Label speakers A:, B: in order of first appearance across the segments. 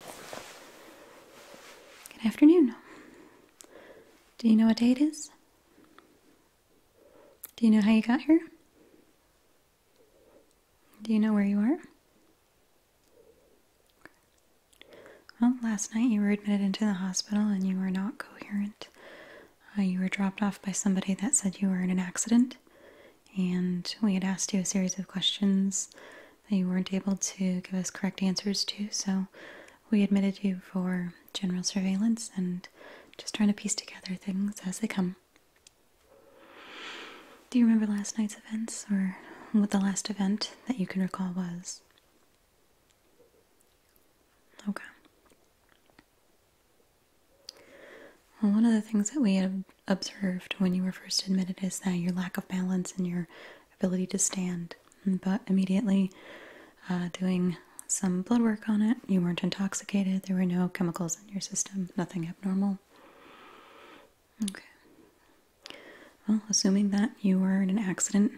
A: Good afternoon. Do you know what day it is? Do you know how you got here? Do you know where you are? Well, last night you were admitted into the hospital and you were not coherent. Uh, you were dropped off by somebody that said you were in an accident, and we had asked you a series of questions that you weren't able to give us correct answers to, so we admitted you for general surveillance and just trying to piece together things as they come. Do you remember last night's events or what the last event that you can recall was? Okay. Well, one of the things that we had observed when you were first admitted is that your lack of balance and your ability to stand. But immediately uh, doing some blood work on it, you weren't intoxicated, there were no chemicals in your system, nothing abnormal. Okay. Well, assuming that you were in an accident,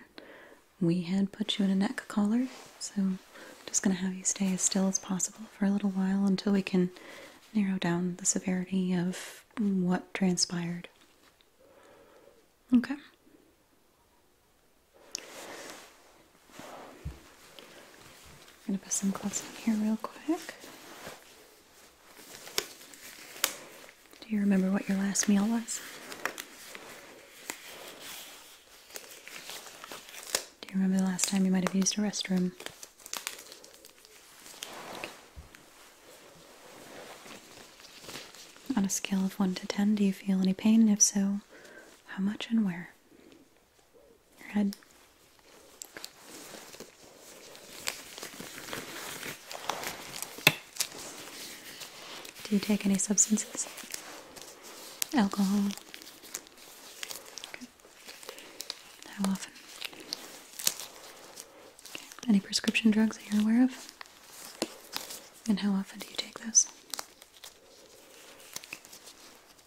A: we had put you in a neck collar, so just going to have you stay as still as possible for a little while until we can narrow down the severity of what transpired. Okay. I'm gonna put some clothes on here real quick. Do you remember what your last meal was? Do you remember the last time you might have used a restroom? On a scale of 1 to 10, do you feel any pain? if so, how much and where? Your head. Do you take any substances? Alcohol? How often? Any prescription drugs that you're aware of? And how often do you take those?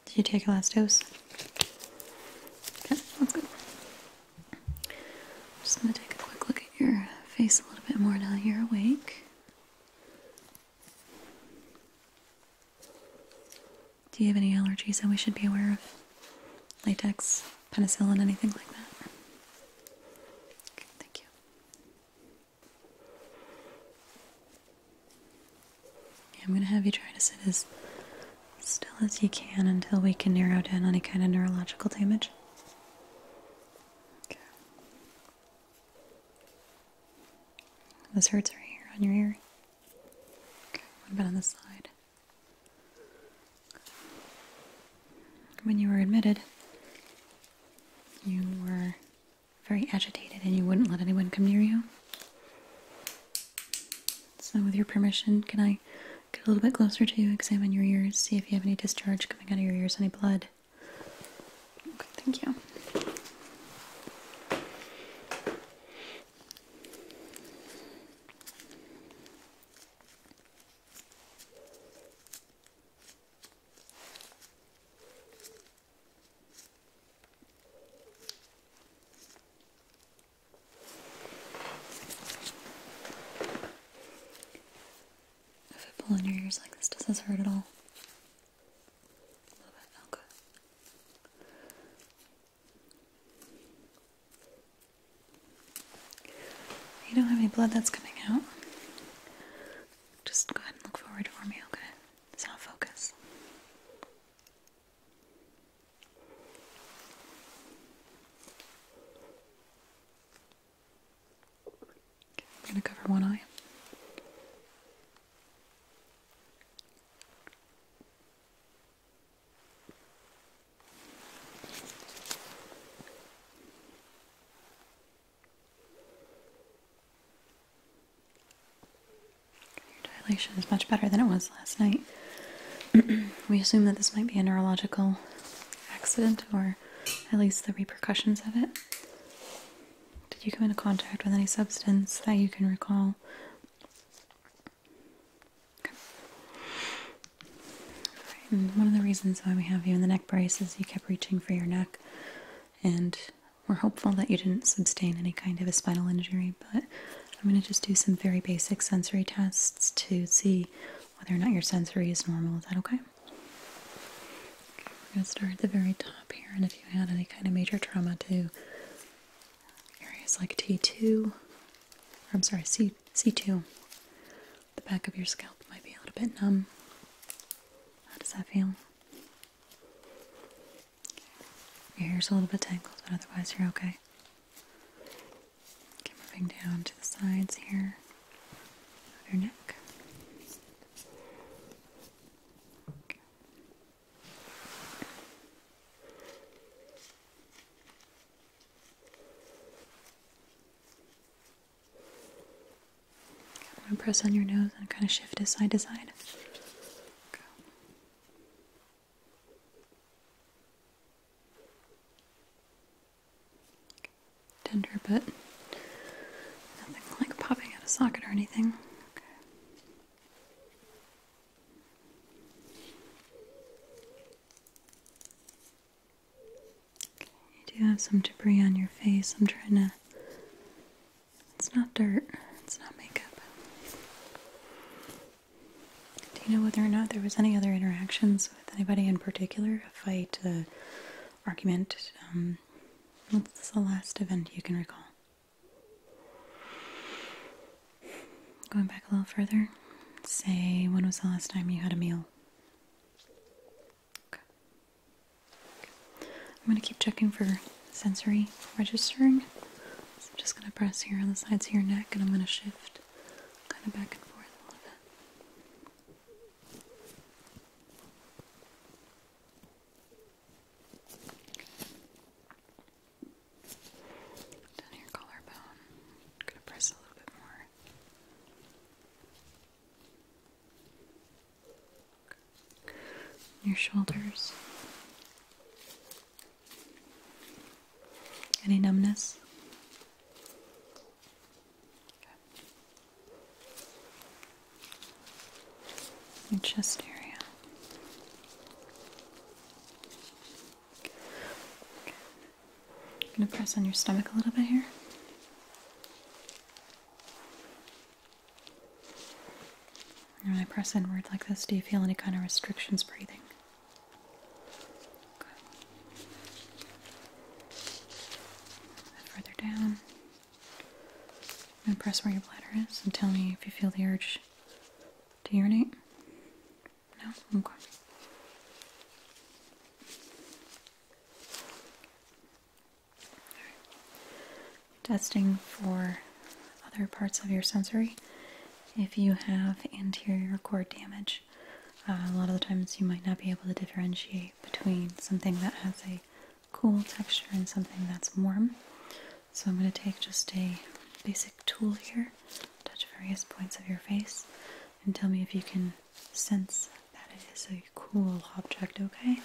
A: Did you take your last dose? Okay, that's good. just going to take a quick look at your face a little bit more now you're awake. Do you have any allergies that we should be aware of? Latex, penicillin, anything like that? thank you. I'm going to have you try to sit as still as you can until we can narrow down any kind of neurological damage. This hurts right here on your ear. Okay, what about on this side? When you were admitted, you were very agitated and you wouldn't let anyone come near you. So, with your permission, can I get a little bit closer to you, examine your ears, see if you have any discharge coming out of your ears, any blood? Okay, thank you. If I pull in your ears like this, does this hurt at all? A little bit, okay. You don't have any blood that's coming out. Just go ahead and look forward for me, okay? It's not focus. Okay, I'm gonna cover one eye. Your dilation is much better than it was last night. we assume that this might be a neurological accident or at least the repercussions of it. Did you come into contact with any substance that you can recall? one of the reasons why we have you in the neck brace is you kept reaching for your neck, and we're hopeful that you didn't sustain any kind of a spinal injury. But I'm going to just do some very basic sensory tests to see whether or not your sensory is normal. Is that okay? we're going to start at the very top here, and if you had any kind of major trauma to areas like T2, or I'm sorry, C C2. The back of your scalp might be a little bit numb. How does that feel? Your hair's a little bit tangled, but otherwise you're okay. moving down to the sides here of your neck. I'm going to press on your nose and kind of shift it side to side. Tender, but nothing like popping out a socket or anything. You do have some debris on your face. I'm trying to. It's not dirt, it's not makeup. Do you know whether or not there was any other interactions with anybody in particular? A fight, argument? Um, what's the last event you can recall? Going back a little further, say when was the last time you had a meal I'm going to keep checking for sensory registering. I'm just going to press here on the sides of your neck and I'm going to shift kind of back and forth a little bit. Down your collarbone. gonna press a little bit more. Your shoulders. Any numbness? Your chest area. I'm going to press on your stomach a little bit here. when I press inward like this, do you feel any kind of restrictions breathing? Good. Further down. i press where your bladder is and tell me if you feel the urge to urinate. No? Okay. Testing for other parts of your sensory. If you have anterior cord damage, uh, a lot of the times you might not be able to differentiate between something that has a cool texture and something that's warm. So I'm going to take just a basic tool here, touch various points of your face, and tell me if you can since that it is a cool object, okay?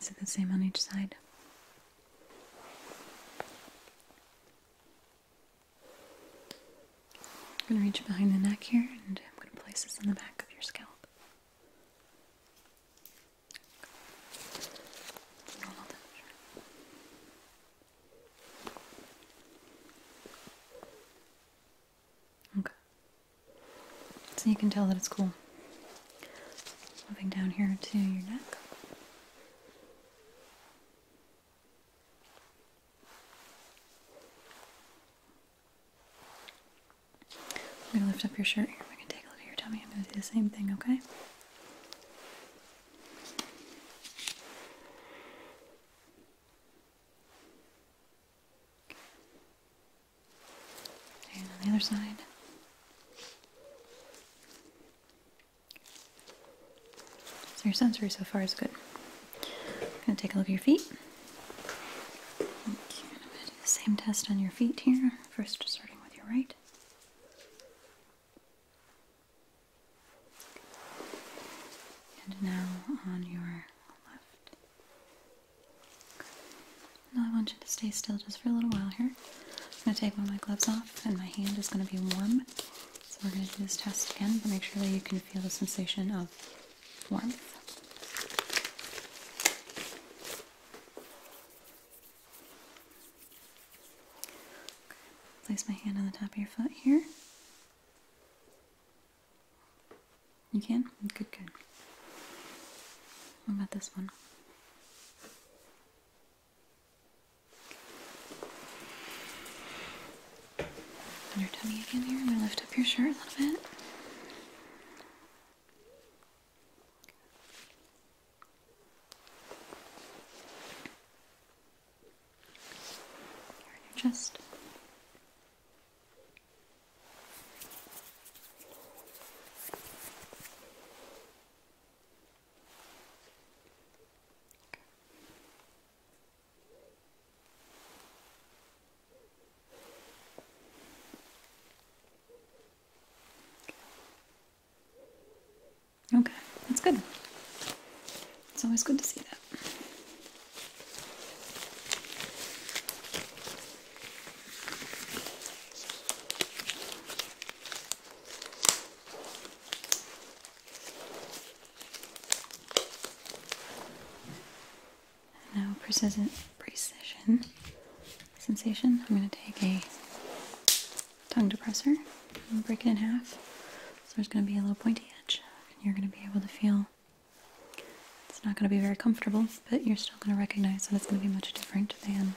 A: Is it the same on each side? I'm going to reach behind the neck here and I'm going to place this in the back of your scalp. Okay. So you can tell that it's cool. Moving down here to your neck. I'm going to lift up your shirt here. I'm going to take a look at your tummy. I'm going to do the same thing, okay? And the other side. So your sensory so far is good. I'm going to take a look at your feet. same test on your feet here. First, starting with your right. And now on your left. Now I want you to stay still just for a little while here. I'm going to take one of my gloves off, and my hand is going to be warm. So we're going to do this test again, but make sure that you can feel the sensation of warmth. Place my hand on the top of your foot here. You can? Good, good. What about this one? on your tummy again here. I'm going to lift up your shirt a little bit. Here on your chest. Okay, that's good. It's always good to see that now precision, sensation. I'm going to take a tongue depressor and break it in half. So there's going to be a little pointy edge, and you're going to be able to feel. It's not going to be very comfortable, but you're still going to recognize that it's going to be much different than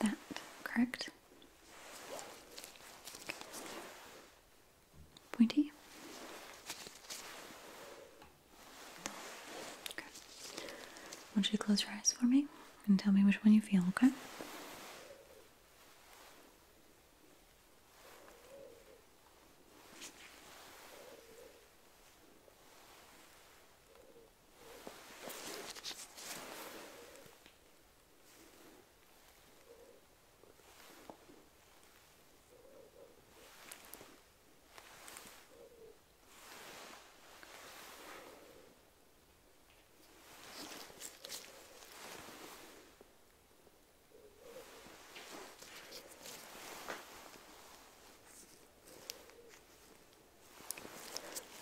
A: that. Correct pointy? Okay. want you to close your eyes for me and tell me which one you feel, okay?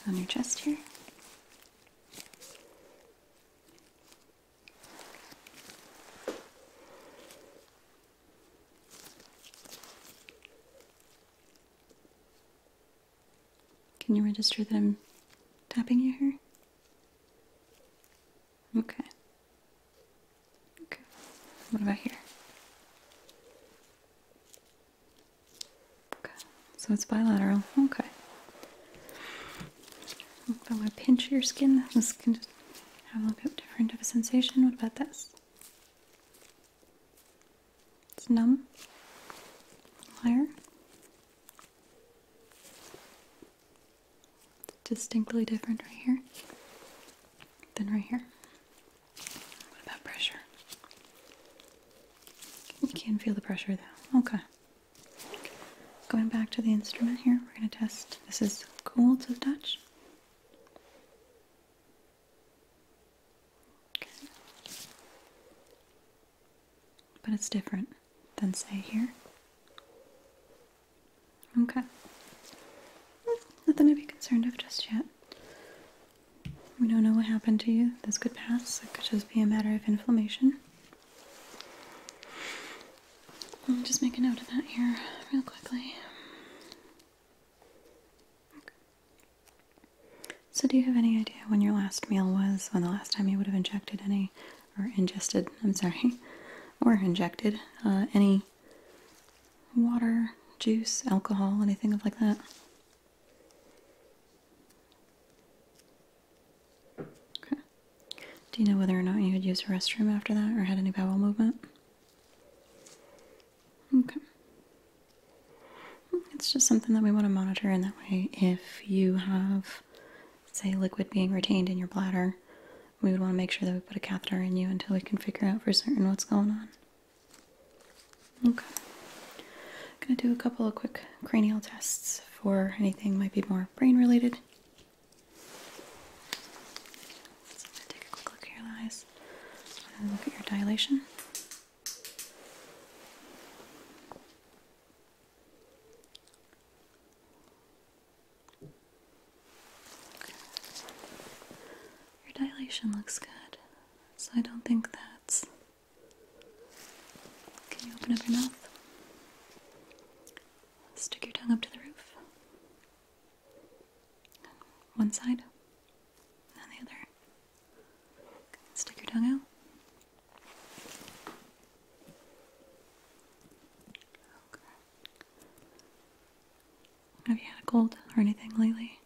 A: On your chest here. Can you register that I'm tapping you here? Okay. Okay. What about here? Okay. So it's bilateral. Okay. If I want to pinch your skin, this can just have a little bit different of a sensation. What about this? It's numb. Higher. distinctly different right here than right here. What about pressure? You can feel the pressure though. Okay. Going back to the instrument here, we're going to test. This is cool to touch. Okay. But it's different than, say, here. Okay. Nothing to be concerned of just yet. We don't know what happened to you. This could pass. It could just be a matter of inflammation. Let me just make a note of that here real quickly. So, do you have any idea when your last meal was? When the last time you would have injected any, or ingested, I'm sorry, or injected uh, any water, juice, alcohol, anything like that? Okay. Do you know whether or not you had used a restroom after that or had any bowel movement? Okay. It's just something that we want to monitor in that way. If you have, say, liquid being retained in your bladder, we would want to make sure that we put a catheter in you until we can figure out for certain what's going on. Okay. going to do a couple of quick cranial tests for anything might be more brain related. So i take a quick look at your eyes. look at your dilation. Your dilation looks good, so I don't think that's. Can you open up your mouth? Stick your tongue up to the roof. One side and the other. Stick your tongue out. Have you had a cold or anything lately?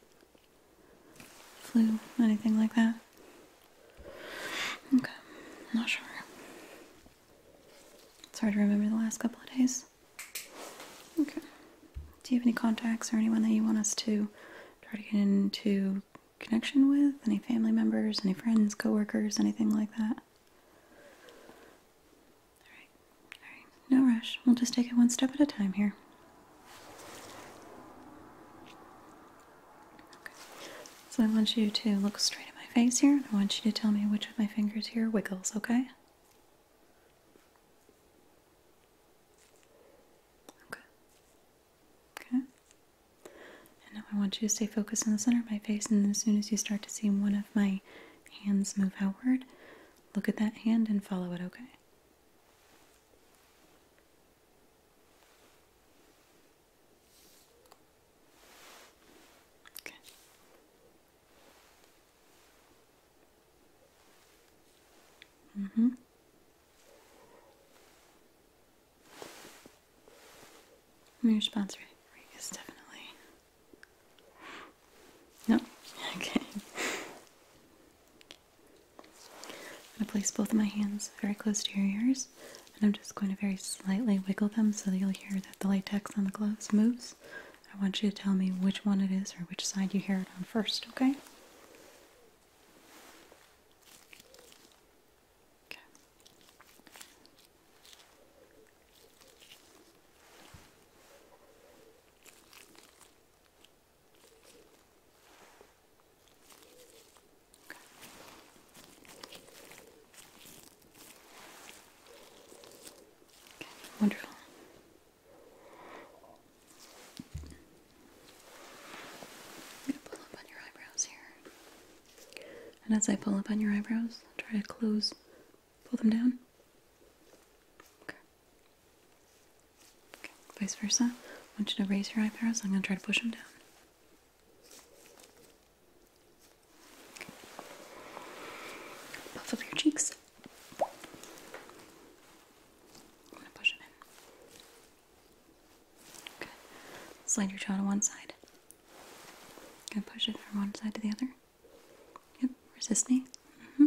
A: Flu, anything like that? Okay, not sure. It's hard to remember the last couple of days. Okay. Do you have any contacts or anyone that you want us to try to get into connection with? Any family members, any friends, coworkers, anything like that? Alright, alright. No rush. We'll just take it one step at a time here. Okay. So I want you to look straight at my face here and I want you to tell me which of my fingers here wiggles, okay? Okay. Okay. And now I want you to stay focused on the center of my face, and as soon as you start to see one of my hands move outward, look at that hand and follow it, okay? Okay. Mm-hmm. Your sponsor rate is definitely no. Okay. I'm gonna place both of my hands very close to your ears, and I'm just going to very slightly wiggle them so that you'll hear that the latex on the gloves moves. I want you to tell me which one it is or which side you hear it on first, Okay wonderful. I'm going to pull up on your eyebrows here. And as I pull up on your eyebrows, try to close, pull them down. Okay. okay. Vice versa. I want you to raise your eyebrows. I'm going to try to push them down. Puff up your cheeks. I'm gonna push it in. Okay. Slide your jaw to one side. Gonna push it from one side to the other. Yep. Resist me. hmm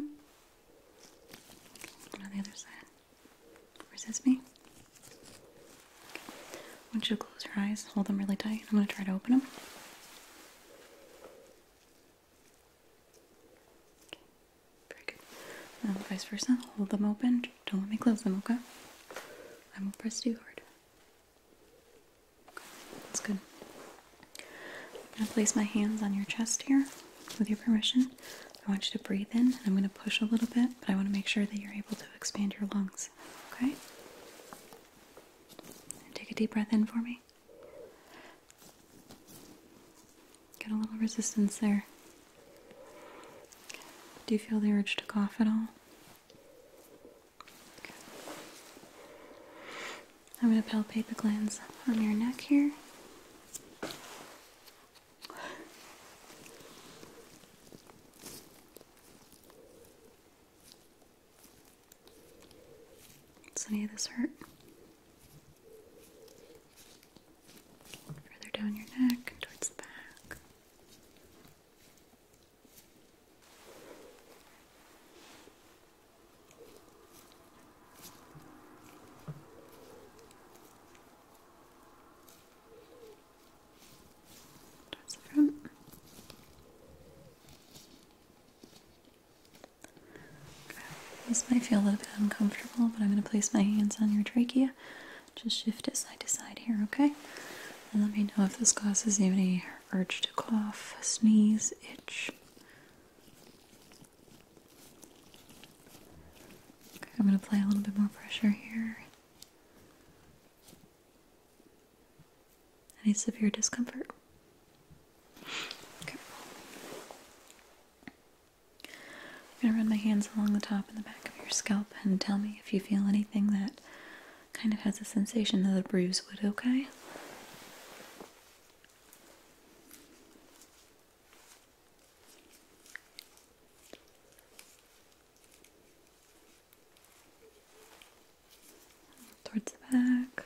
A: Okay. On the other side. Resist me. Okay. I want you close your eyes. Hold them really tight. I'm gonna try to open them. Okay, very good. Um, vice versa, hold them open. Don't let me close them, okay? I won't press too hard. that's good. I'm going to place my hands on your chest here with your permission. I want you to breathe in, and I'm going to push a little bit, but I want to make sure that you're able to expand your lungs, okay? take a deep breath in for me. Get a little resistance there. Do you feel the urge to cough at all? I'm going to palpate the glands on your neck here. Does any of this hurt? Further down your neck towards the back. Towards the front. This might feel a little bit uncomfortable, but I'm going to place my hands on your trachea. Just shift it side to side here, okay? And let me know if this causes you any urge to cough, sneeze, itch. I'm going to apply a little bit more pressure here. Any severe discomfort? Okay. I'm going to run my hands along the top and the back of your scalp and tell me if you feel anything that kind of has a sensation that a bruise would, okay? Towards the back.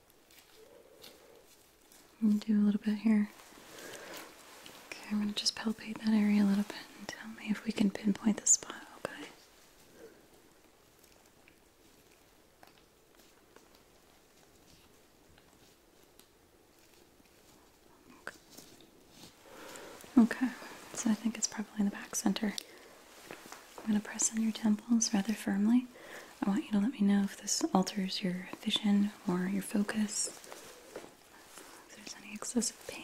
A: do a little bit here. Okay, I'm going to just palpate that area a little bit and tell me if we can pinpoint the spot, okay? Okay, so I think it's probably in the back center. I'm going to press on your temples rather firmly. I want you to let me know if this alters your vision or your focus, if there's any excessive pain.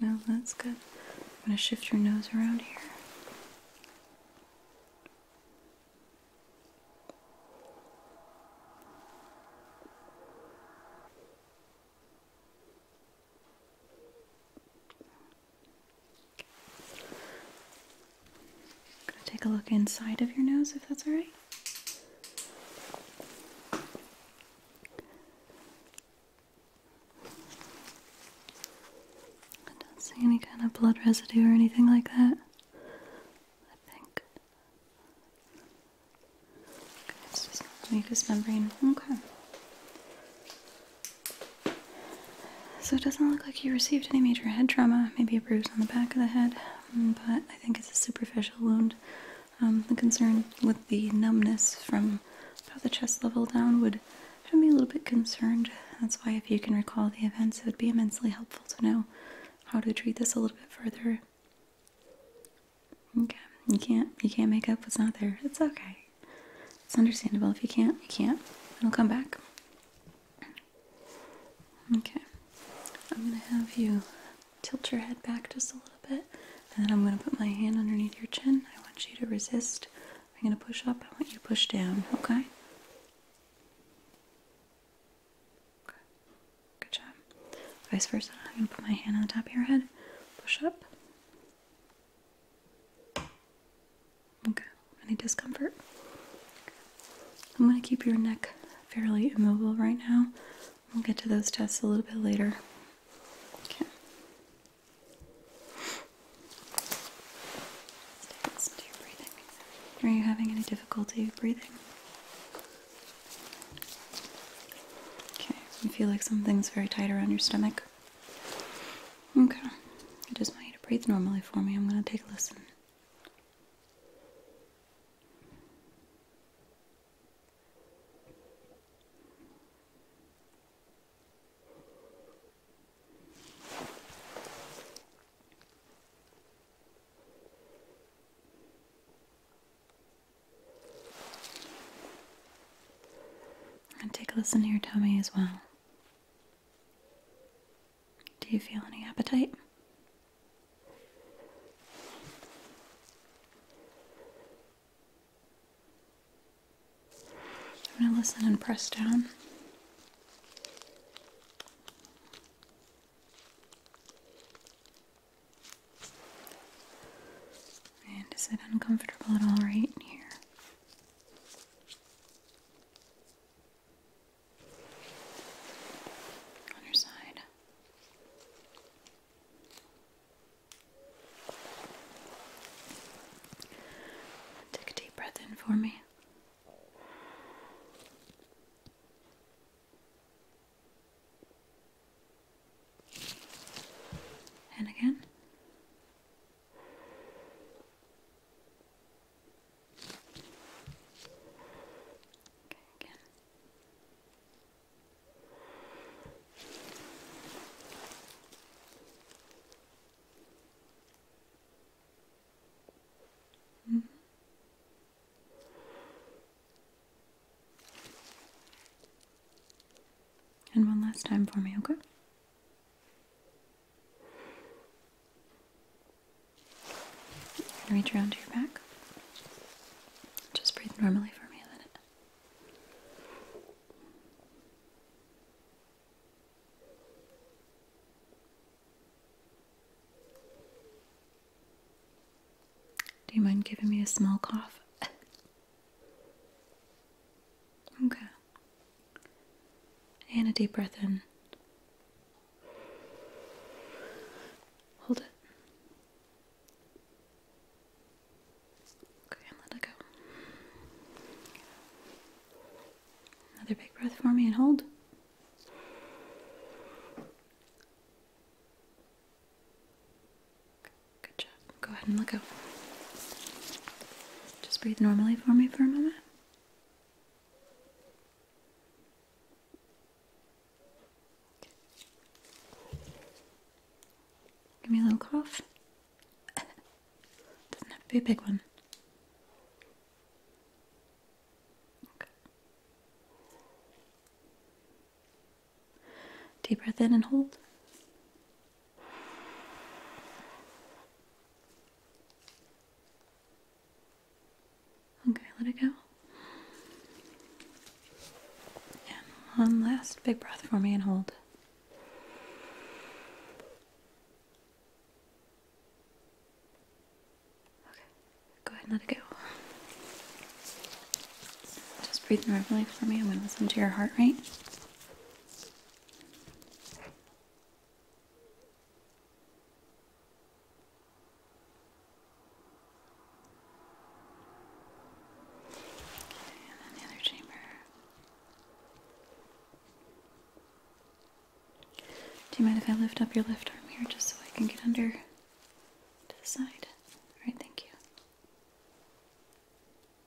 A: No, that's good. I'm going to shift your nose around here i take a look inside of your nose if that's alright. I don't see any kind of blood residue or anything like that. I think. This is the mucous membrane. Okay. So it doesn't look like you received any major head trauma, maybe a bruise on the back of the head, mm, but I think it's a superficial wound. Um, the concern with the numbness from about the chest level down would have me a little bit concerned. That's why, if you can recall the events, it would be immensely helpful to know how to treat this a little bit further. Okay, you can't you can't make up what's not there. It's okay. It's understandable. If you can't, you can't. It'll come back. Okay. I'm gonna have you tilt your head back just a little bit, and then I'm gonna put my hand underneath your chin. I want you to resist. I'm gonna push up, I want you to push down, okay? Okay. Good job. Vice versa. I'm gonna put my hand on the top of your head, push up, Okay, any discomfort? I'm going to keep your neck fairly immobile right now. We'll get to those tests a little bit later. Okay. Are you having any difficulty breathing? Okay, you feel like something's very tight around your stomach. Okay. I just want you to breathe normally for me. I'm going to take a listen. And take a listen to your tummy as well. Do you feel any appetite? I'm going to listen and press down. And is it uncomfortable at all right in here? Other side. Take a deep breath in for me. And again. Okay, again. -hmm. And one last time for me, okay? reach around to your back. Just breathe normally for me a minute. Do you mind giving me a small cough? Okay. And a deep breath in. Hold it. Okay, and let it go. Another big breath for me and hold. Good job. Go ahead and let go. Just breathe normally for me for a moment. Give me a little cough. Doesn't have to be a big one. Okay. Deep breath in and hold. Okay, let it go. And one last big breath for me and hold. Okay, go ahead let it go. Just breathe normally for me. I'm going to listen to your heart rate and then the other chamber. Do you mind if I lift up your left arm here just so I can get under to the side? All right, thank you.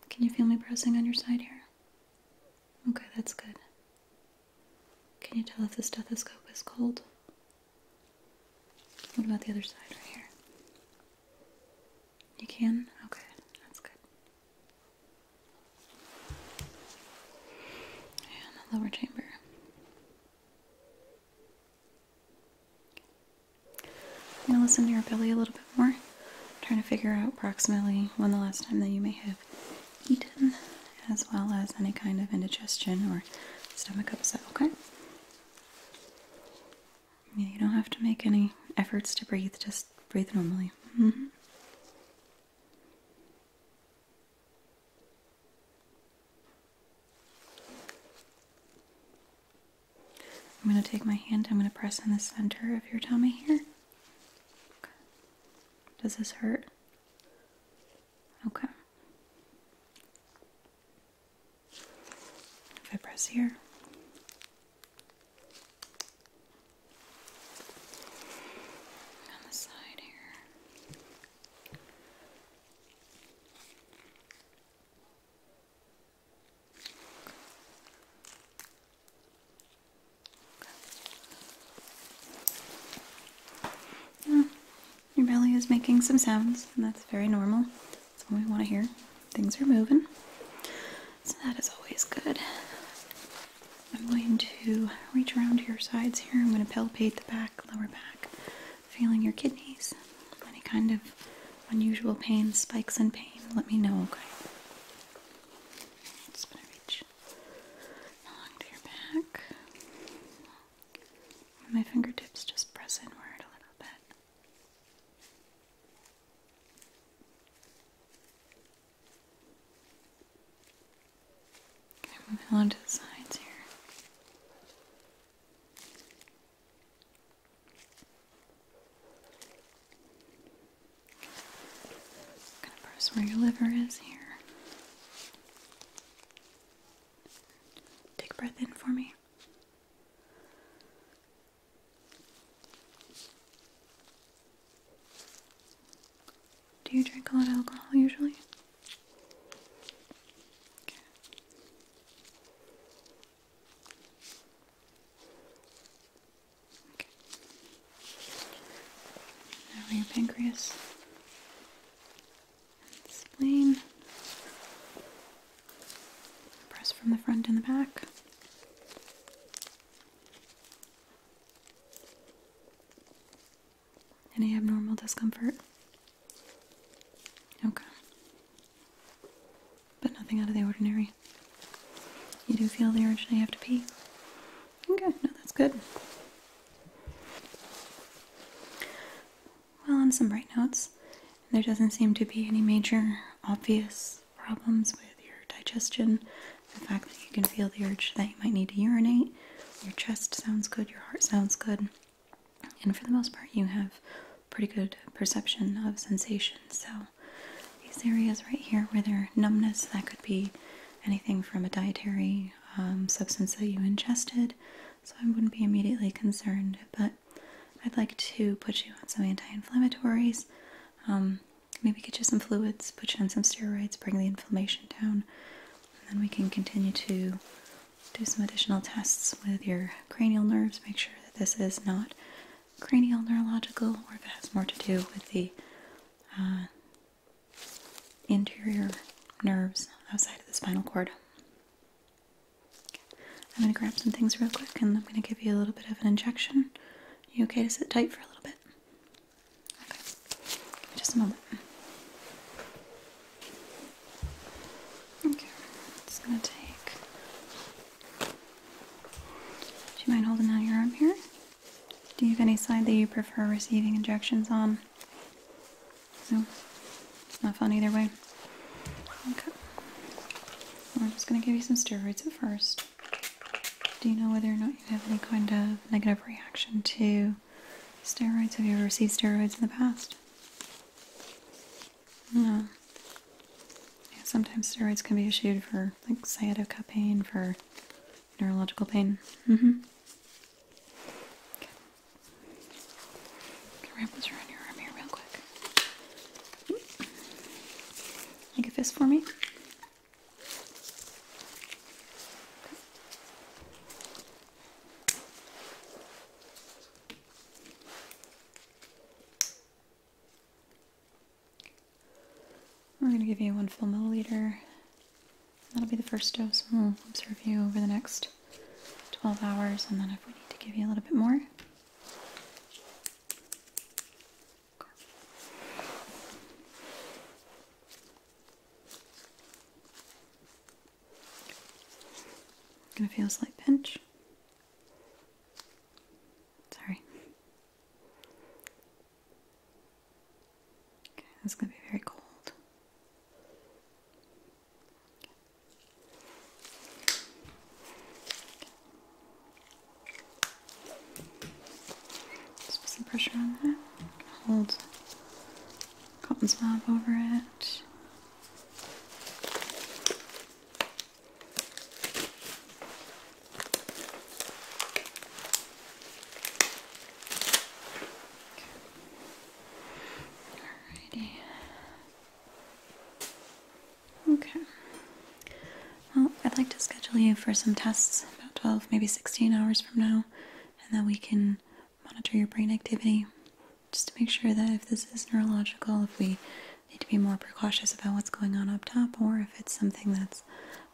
A: Can you feel me pressing on your side here? Okay, that's good. Can you tell if the stethoscope is cold? What about the other side right here? You can? Okay, that's good. And the lower chamber. I'm gonna listen to your belly a little bit more. trying to figure out approximately when the last time that you may have eaten, as well as any kind of indigestion or stomach upset, okay? you don't have to make any efforts to breathe, just breathe normally. Mm-hmm. I'm going to take my hand, I'm going to press in the center of your tummy here. Does this hurt? Okay. If I press here. On the side here. Mm, your belly is making some sounds, and that's very normal. That's what we want to hear. Things are moving, so that is always good. I'm going to reach around to your sides here. I'm going to palpate the back, lower back, feeling your kidneys. Any kind of unusual pain, spikes in pain, let me know, okay? It's going to reach along to your back. With my fingertips, just press inward a little bit. Okay, moving along to the sides here. Just gonna press where your liver is here. Take a breath in for me. Do you drink a lot of alcohol usually? Okay. Now your pancreas spleen. Press from the front and the back. Any abnormal discomfort? Okay but nothing out of the ordinary. You do feel the urge you have to pee? Okay, no, that's good. Well, on some bright notes, there doesn't seem to be any major obvious problems with your digestion. The fact that you can feel the urge that you might need to urinate, your chest sounds good, your heart sounds good, and for the most part, you have pretty good perception of sensations. So, these areas right here where there numbness that could be anything from a dietary um, substance that you ingested so I wouldn't be immediately concerned but I'd like to put you on some anti-inflammatories um, maybe get you some fluids put you on some steroids bring the inflammation down and then we can continue to do some additional tests with your cranial nerves make sure that this is not cranial neurological, or if it has more to do with the uh, interior nerves outside of the spinal cord. I'm going to grab some things real quick and I'm going to give you a little bit of an injection. You okay to sit tight for a little bit? Just a moment. Okay. It's going to take do you mind holding out your arm here? Do you have any side that you prefer receiving injections on? No? It's not fun either way. Okay. Well, i just going to give you some steroids at first. Do you know whether or not you have any kind of negative reaction to steroids? Have you ever received steroids in the past? No sometimes steroids can be issued for like cytokine for neurological pain. Mm-hmm. Okay. wrap this around your arm here real quick. Mm-hmm. Make a fist for me. We're going to give you one full milliliter. That'll be the first dose. We'll observe you over the next 12 hours, and then if we need to give you a little bit more. It am going feel a slight pinch. Sorry. Okay, that's going to be very cold. Just put some pressure on that. Hold cotton swab over it. Okay. Well, I'd like to schedule you for some tests about 12, maybe 16 hours from now, and then we can monitor your brain activity just to make sure that if this is neurological, if we need to be more precautious about what's going on up top or if it's something that's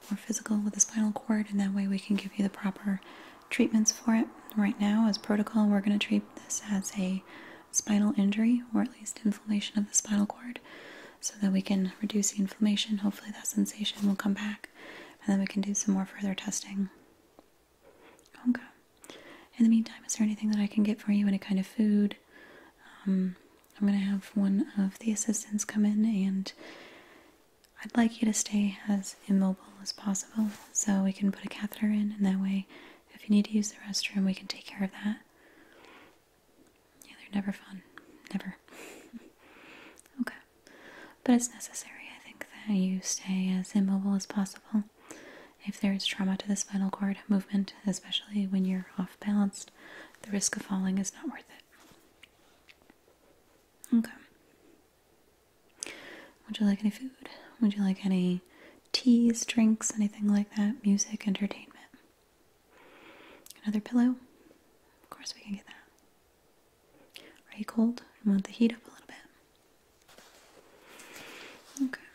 A: more physical with the spinal cord and that way we can give you the proper treatments for it. Right now as protocol we're going to treat this as a spinal injury or at least inflammation of the spinal cord so that we can reduce the inflammation. Hopefully that sensation will come back and then we can do some more further testing. Okay. In the meantime, is there anything that I can get for you? Any kind of food? Um, I'm going to have one of the assistants come in and I'd like you to stay as immobile as possible so we can put a catheter in, and that way, if you need to use the restroom, we can take care of that. Yeah, they're never fun. Never. okay. But it's necessary, I think, that you stay as immobile as possible. If there is trauma to the spinal cord movement, especially when you're off balanced, the risk of falling is not worth it. Okay. Would you like any food? Would you like any teas, drinks, anything like that? Music, entertainment? Another pillow? Of course, we can get that. Are you cold? You want the heat up a little bit? Okay.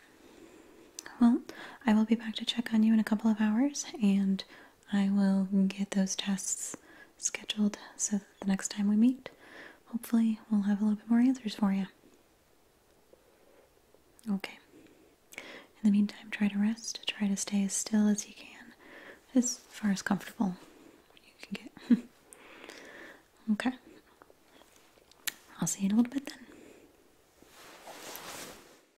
A: Well, I will be back to check on you in a couple of hours and I will get those tests scheduled so that the next time we meet, hopefully, we'll have a little bit more answers for you. Okay. In the meantime, try to rest, try to stay as still as you can, as far as comfortable you can get. okay. I'll see you in a little bit then.